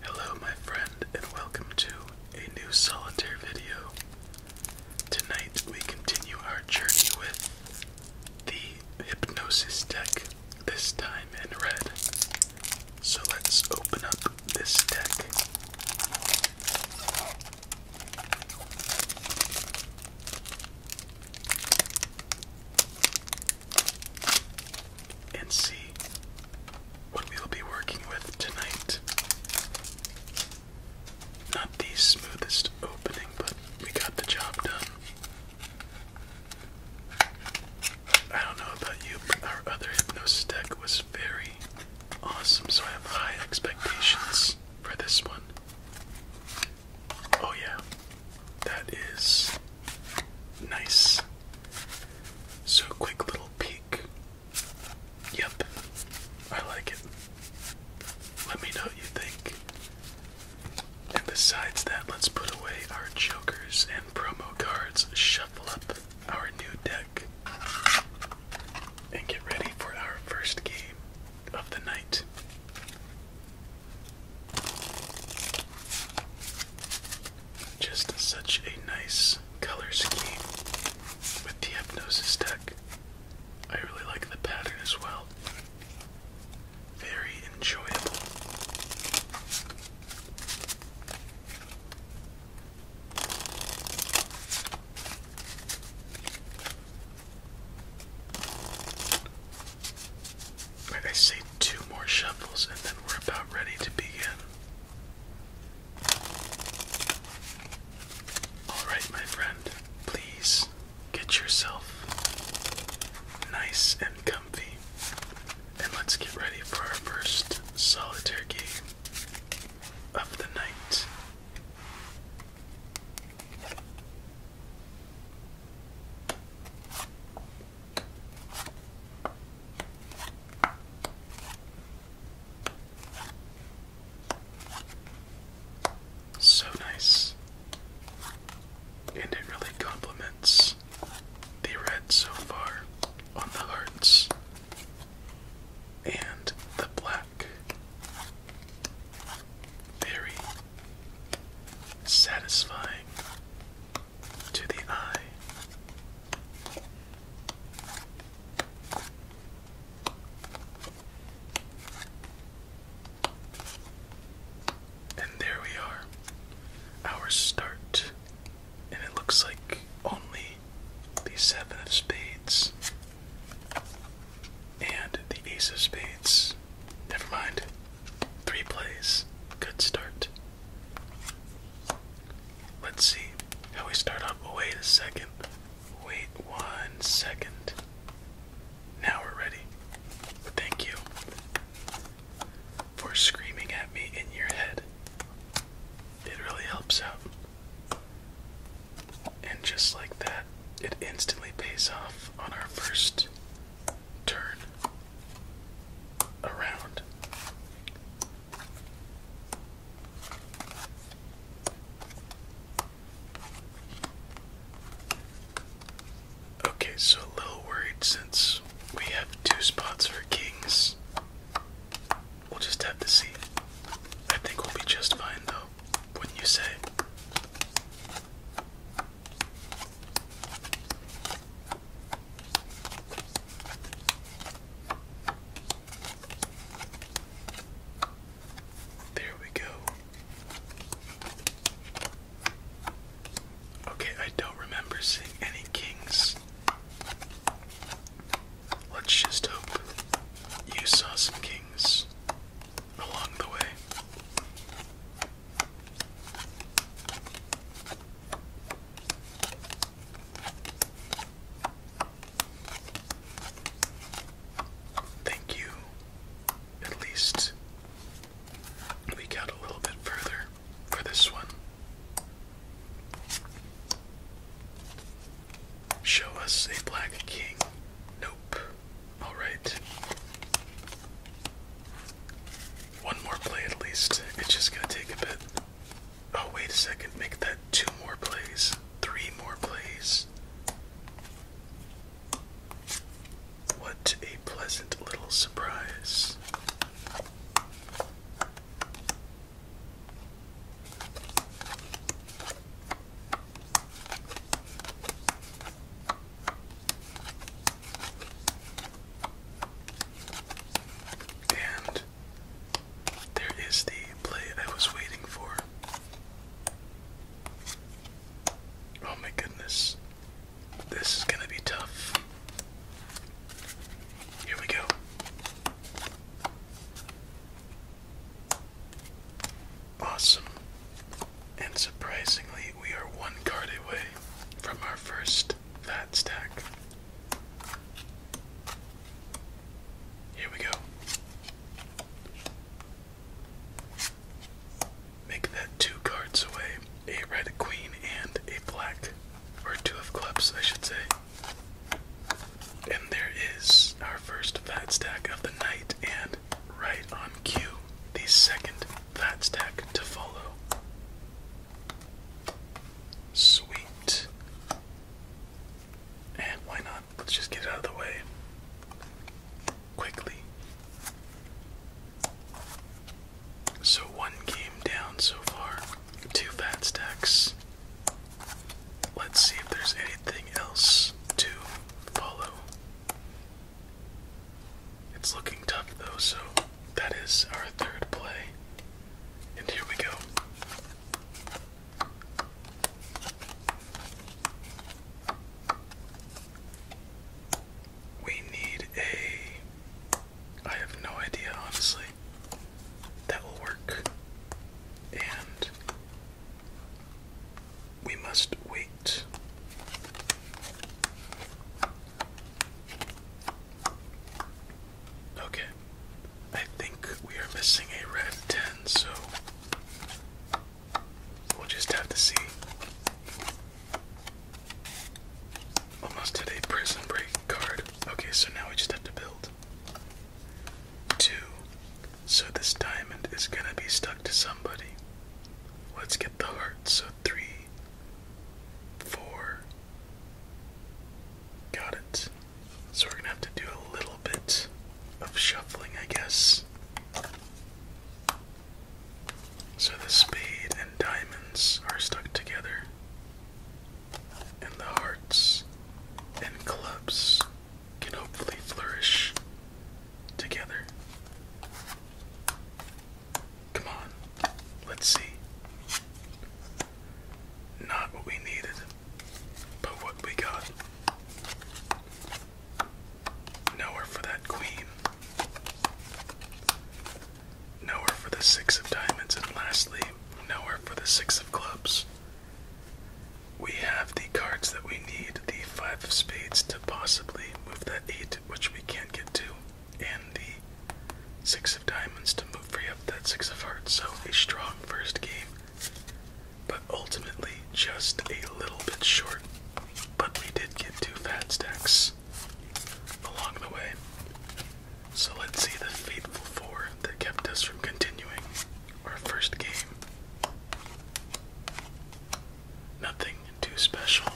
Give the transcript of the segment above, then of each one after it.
Hello, my friend, and welcome to a new solitaire video. Tonight we continue our journey with the Hypnosis deck this time in red. So let's open up this deck. And see what we will be working with tonight. Not the smoothest opening, but we got the job done. I don't know about you, but our other hypnosis deck was very awesome, so I have high expectations for this one. Oh, yeah, that is nice. So, quick little peek. Yep, I like it. Let me know what you think. And besides that, let's put away our jokers and promo cards, shuffle up our new deck, and get ready for our first game of the night. Just such a nice color scheme with the Hypnosis deck. I really like the pattern as well very enjoyable. I say, two more shuffles, and then we're about ready to begin. Alright, my friend, please get yourself nice and comfy. And let's get ready for our first solitaire game of the night. So nice, and it really complements the red so far on the hearts and the black. Very satisfying to the eye. And there we are. Our start. And it looks like only the seven of spades. And the ace of spades. Never mind. Three plays. Good start. Let's see how we start up. Oh, wait a second. Wait one second. Now we're ready. Thank you for screaming at me in your head. It really helps out. And just like that, it instantly pays off on our first turn around. Okay, so a little worried since we have two spots for kings. We'll just have to see. I think we'll be just fine though, wouldn't you say? There we go. Okay, I don't remember seeing any kings. Let's just hope you saw some kings along the way. Thank you. At least we got a little bit further for this one. Show us a black king. Nope. Alright. One more play at least. It's just gonna take a bit. Oh, wait a second. Make that two more plays. Three more plays. What a pleasant little surprise. And there is the play I was waiting for. Oh my goodness. This is going to be tough. Here we go. Awesome. And surprisingly, we are one card away from our first fat stack. Here we go. Make that two cards away a red queen and a black, or two of clubs, I should say. And there is our first fat stack of the night, and right on cue, the second fat stack to follow. Sweet. And why not? Let's just get out of the way quickly. So one game down so far. Two fat stacks. Let's see if there's anything else to follow. It's looking tough though, so that is our third play. And here we go. We need a I have no idea, honestly. That will work. And we must wait. Okay. I think we are missing a red 10, so we'll just have to see. Almost had prison break card. Okay, so now we just have to build two. So this diamond is gonna be stuck to somebody. Let's get the heart. So three, four. Got it. So we're gonna have to do a little bit of shuffling, I guess. So the spade and diamonds are stuck together, and the hearts and clubs can hopefully flourish together. Come on, let's see. Not what we needed, but what we got. Nowhere for that queen. Nowhere for the six of diamonds, and lastly, nowhere for the six of clubs. We have the cards that we need the five of spades to possibly move that eight, which we can't get to, and the six of diamonds to move free up that six of hearts. So, a strong first game, but ultimately just a little bit short. But we did get two fat stacks along the way. So let's see the faithful four that kept us from continuing our first game. Nothing too special.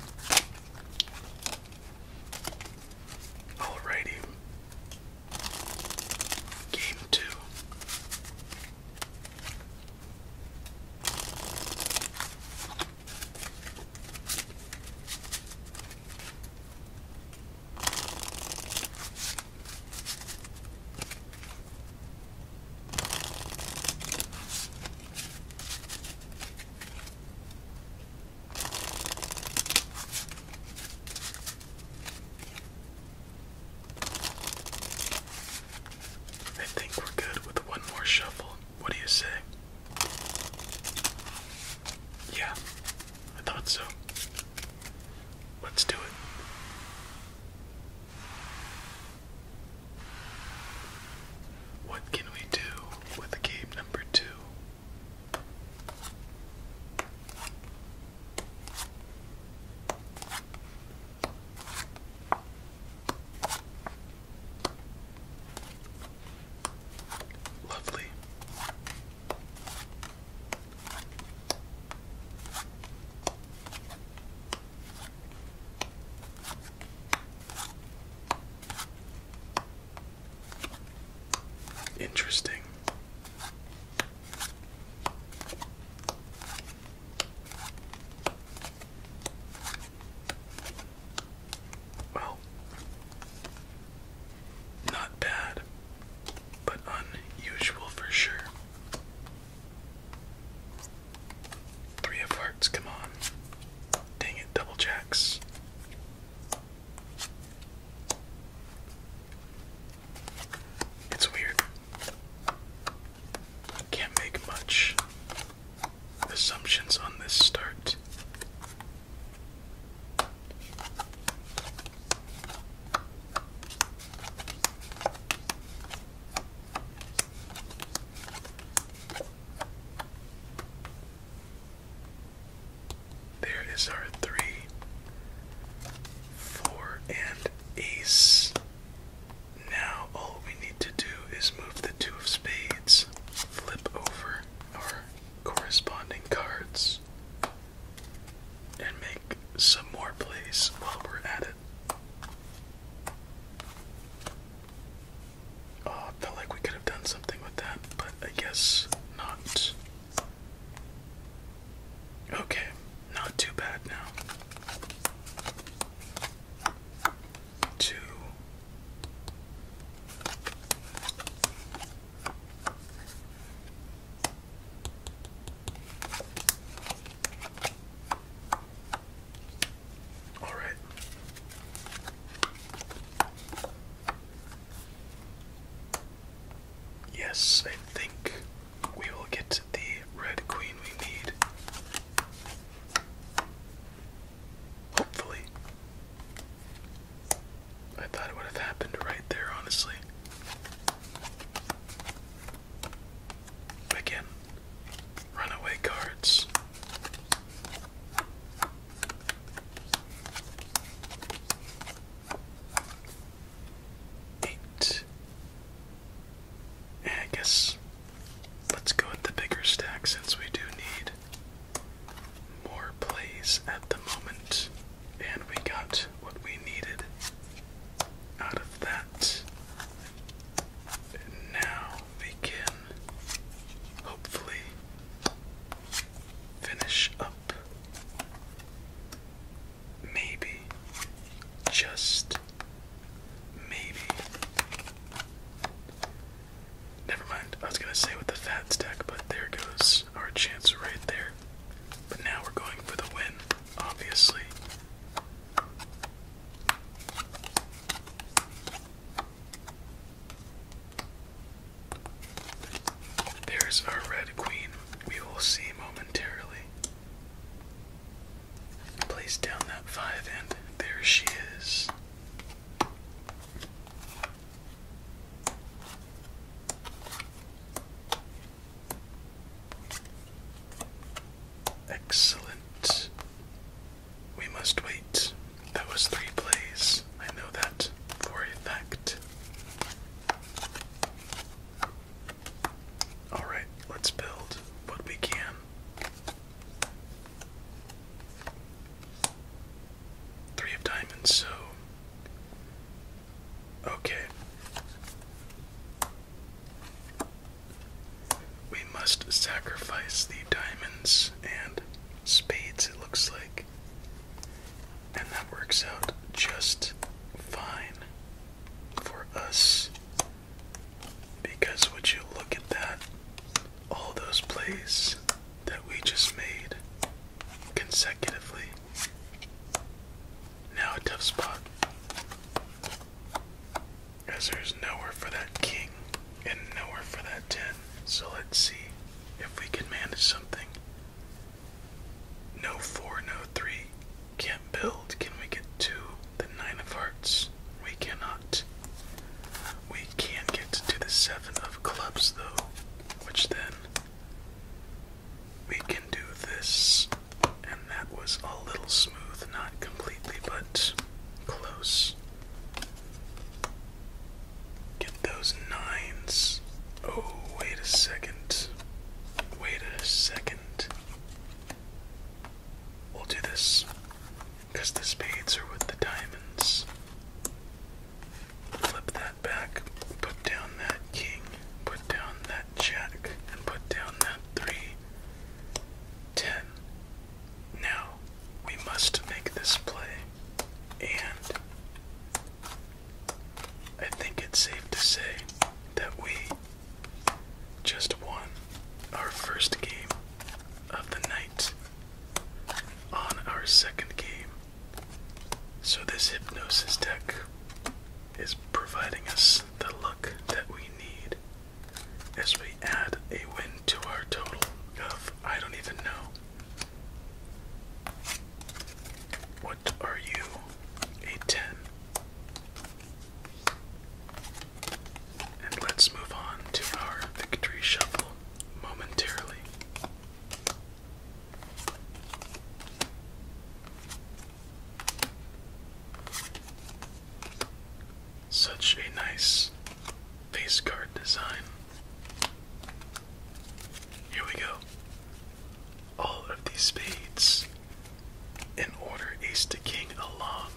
Alrighty. Game two. I think we're good with one more shuffle. What do you say? Yeah, I thought so. Let's do it. What can we do with game number two? Lovely. Interesting. Well, not bad, but unusual for sure. Three of hearts, come on. Dang it, double jacks. It's weird. Can't make much assumptions on this start. There is our three, four, and ace. Now all we need to do is move the two of spades, flip over, our corresponding cards and make some more plays while we're at it. Oh, I felt like we could have done something with that, but I guess not. Okay, not too bad now two, all right. Yes, I think we will get the red queen we need. Hopefully. I thought it would have happened right there, honestly. Again, runaway cards. Eight. Eh, I guess let's go with the bigger stack since we do need more plays at the moment, and we got what we needed out of that. now we hopefully finish up. Maybe, just maybe, Never mind. I was gonna say with the fat stack, but there goes our chance right there. But now we're going for the win, obviously. There's our red queen. We will see momentarily. Place down that five, and there she is. Excellent. We must wait. That was three plays. I know that for a fact. Alright, let's build what we can. Three of diamonds, so. Okay. We must sacrifice the diamonds and spades, it looks like. And that works out just fine for us. Because would you look at that? All those plays that we just made consecutively. Now a tough spot, as there's nowhere for that king and nowhere for that 10. So let's see if we can manage something. No 4, no 3. Can't build. Can we get 2? The 9 of hearts. We cannot. We can get to the seven of clubs though, which then we can do this. And that was a little smooth, not completely, but close. Get those nines. Oh, wait a second. Wait a second. We'll do this. Because the spades are with the diamonds. Flip that back, put down that king, put down that jack, and put down that three. Now, we must make this play, and I think it's safe to say that we just won our first game of the night on our second game. So, this Hypnosis deck is providing us the luck that we need as we add a win to our total of I don't even know. What are you? A 10. And let's move on to our victory shuffle momentarily. Such a nice face card design. Here we go. All of these spades in order ace to king along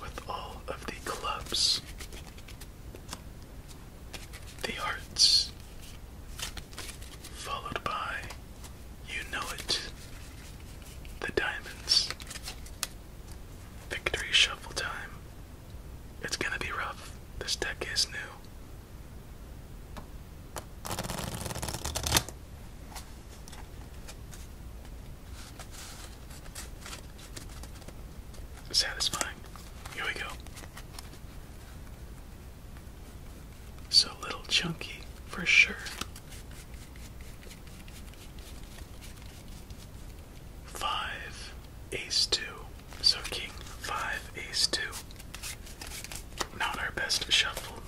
with all of the clubs. The Arts, followed by You Know It, The Diamonds, Victory Shuffle Time. It's gonna be rough. This deck is new. Satisfying. Here we go. So little chunky for sure. Five, ace two. So king, five, ace two. Not our best shuffle,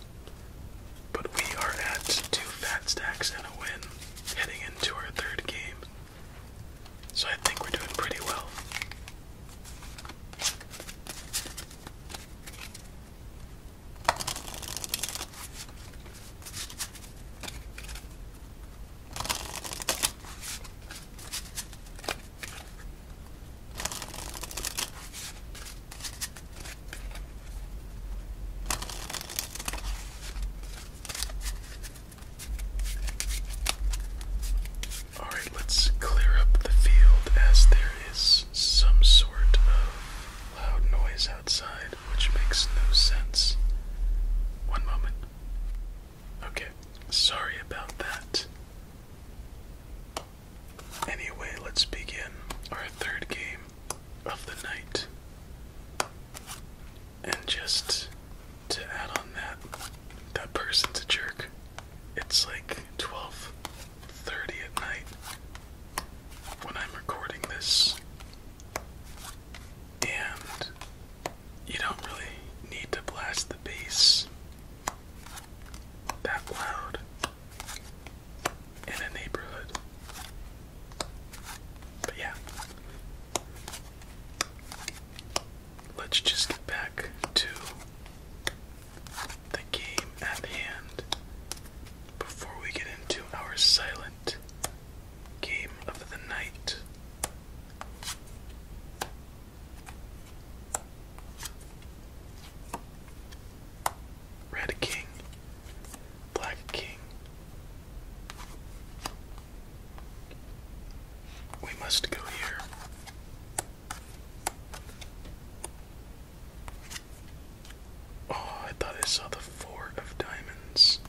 but we are at two fat stacks and a win heading into our third game. So I think we're doing pretty well. Alright, let's clear up the field as there is some sort of loud noise outside, which makes no sense. One moment. Okay, sorry about that. Anyway, let's begin our third game of the night. And just to add on that, that person's a jerk. It's like 12:30 at night when I'm recording this. And you don't really need to blast the bass that loud in a neighborhood. But yeah let's just get back to the game at hand before we get into our silent game of the night. Red King, Black King, we must go here. Oh, I thought I saw the four of diamonds.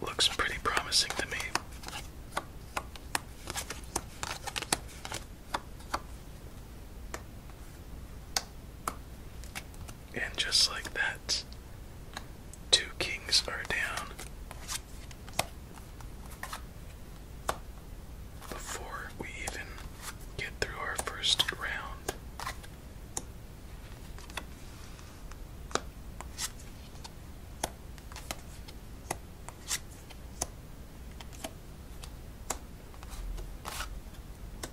Looks pretty promising to me. And just like that, two kings are down. Before we even get through our first round.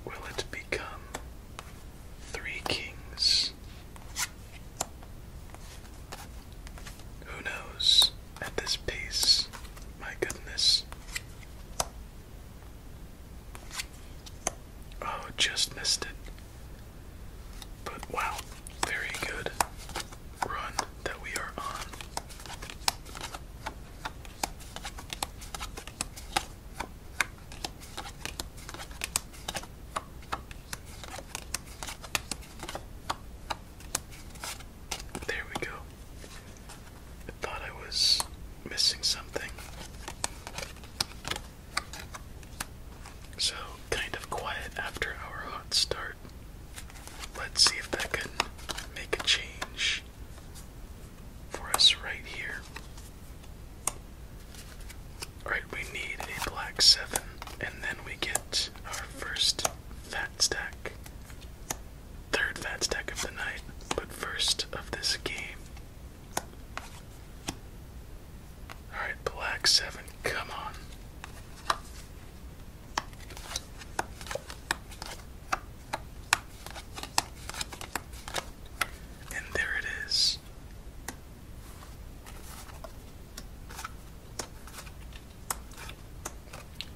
Will it become three kings? Who knows at this pace? My goodness. Oh, just missed it. But wow, very good run that we are on. There we go. I thought I was missing something. So, kind of quiet after our hot start. Let's see if that can make a change for us right here. Alright, we need a black 7, and then we get our first fat stack. Third fat stack of the night, but first of this game. Alright, black 7, come on. And there it is.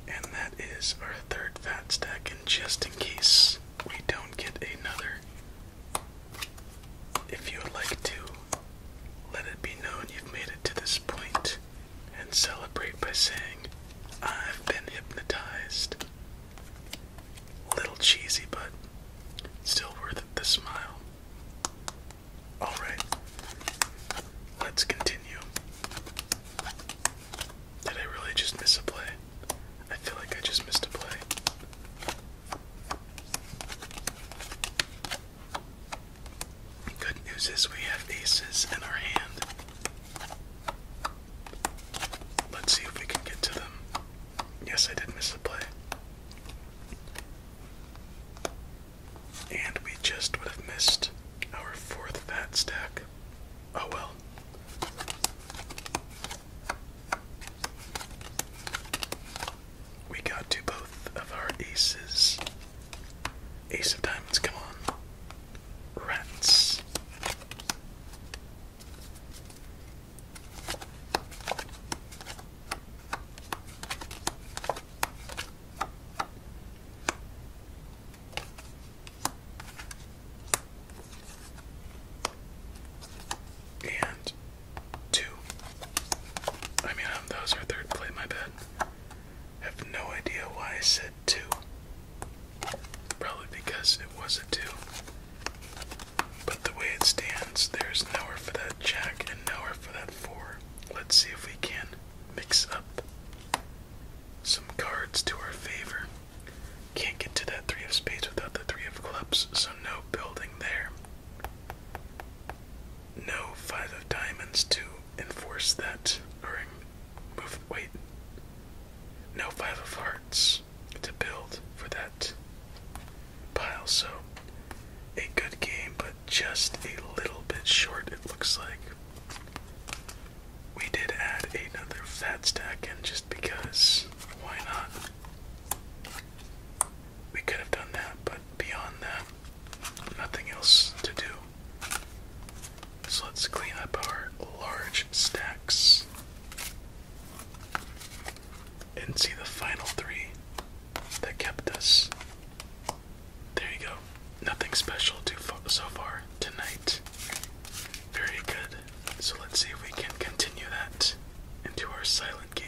And that is our third fat stack, and just in case we don't get another, if you would like to let it be known you've made it to this point and celebrate by saying, I've been hypnotized. A little cheesy, but still worth the smile. Alright, let's continue. Did I really just miss a play? I feel like I just missed a play. Good news is we have aces in our hand. Let's see if we can get to them. Yes, I did miss a play. And we just would have missed our fourth fat stack. Oh well. We got to both of our aces. Ace of diamonds, come on. Rats. And two. I mean, um, those are third play, my bad. Have no idea why I said two. Probably because it was a 2. But the way it stands, there's nowhere for that jack and nowhere for that 4. Let's see if we can mix up some cards to our favor. Can't get to that 3 of spades without the 3 of clubs, so no building there. No 5 of diamonds to enforce that. Or move. Wait. No 5 of hearts to build for that pile. So a good game, but just a little bit short, it looks like. We did add another fat stack in just because why not? We could have done that, but beyond that, nothing else to do. So let's clean up our large stacks and see the final three that kept us. There you go. Nothing special to so far tonight. Very good. So let's see if we can continue that into our silent game.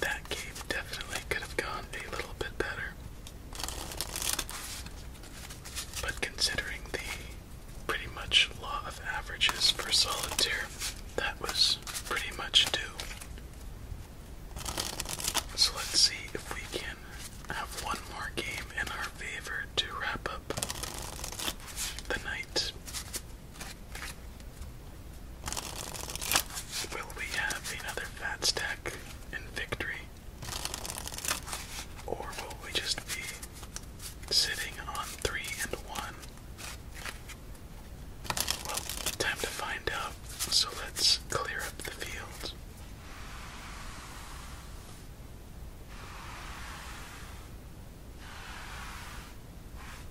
That game definitely could have gone a little bit better. But considering the pretty much law of averages for solitaire, that was pretty much due. So let's see if we can have one more game in our favor to wrap up the night. Will we have another fat stack in victory? Or will we just be sitting on three and one? Well, time to find out, so let's clear up the field.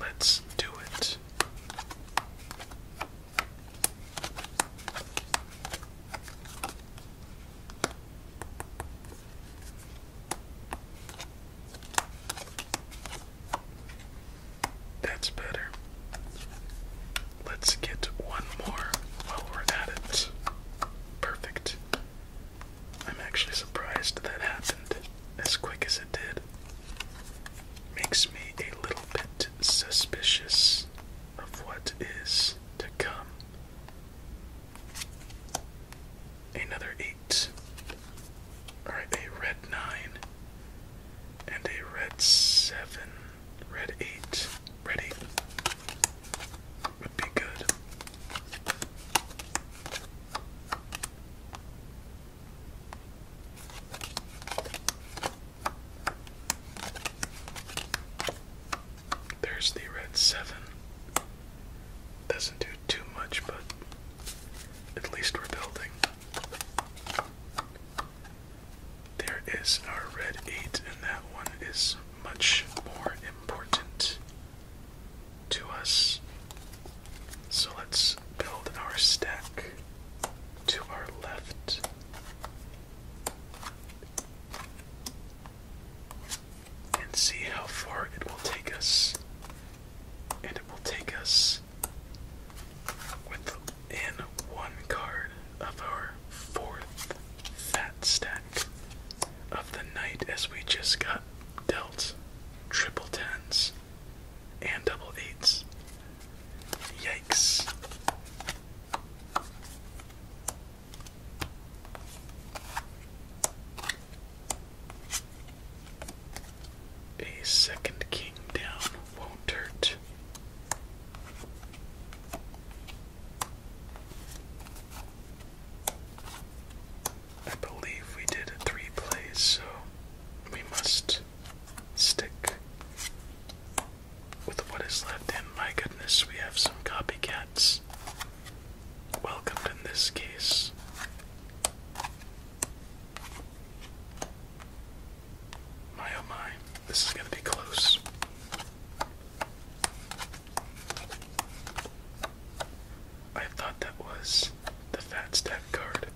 Let's do it. That's better. Let's get one more while we're at it. Perfect. I'm actually surprised that happened as quick as it did. Makes me a little bit suspicious of what is to come. Another eight, or a red nine, and a red seven, red eight, red would be good. There's the red seven. Doesn't do too much, but at least we're building. There is our red eight, and that one is much more important to us. So let's build our stack to our left. And see how far it will take us. And it will take us within one card of our fourth fat stack of the night as we just got dealt triple tens and double eights. Yikes. A second king down won't hurt. I believe we did three plays, so we must stick with what is left. And my goodness, we have some copycats welcomed in this case. My oh my, this is going to be close. I thought that was the fat stack card.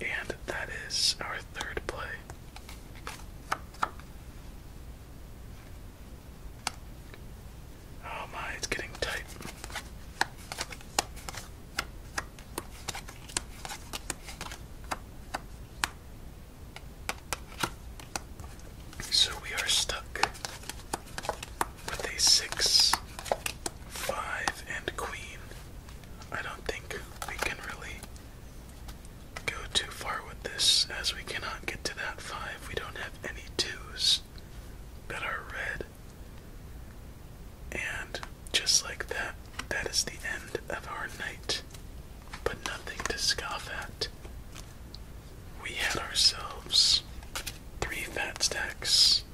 And that is our third play. Oh my, it's getting tight. So we are stuck with a six, five, and queen. I don't think we can really go too far with this as we cannot get to that five. We don't have any twos that are red. And just like that, that is the end of our night, but nothing to scoff at. We had ourselves three fat stacks,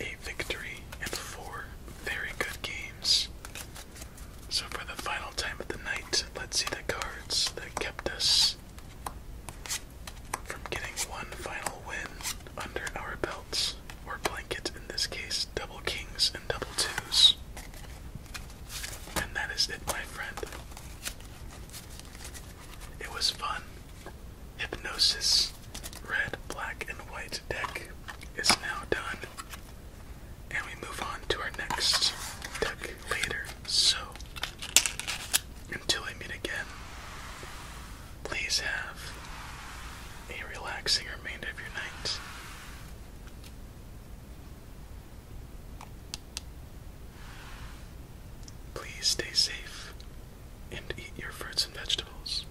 a victory, and four very good games. So, for the final time of the night, let's see the cards that kept us from getting one final win under our belt or blankets, in this case, double kings and double twos. And that is it, my friend. It was fun. Hypnosis red, black, and white deck is now done. And we move on to our next deck later. So, until we meet again, Please have a relaxing remainder of your night. Please stay safe and eat your fruits and vegetables.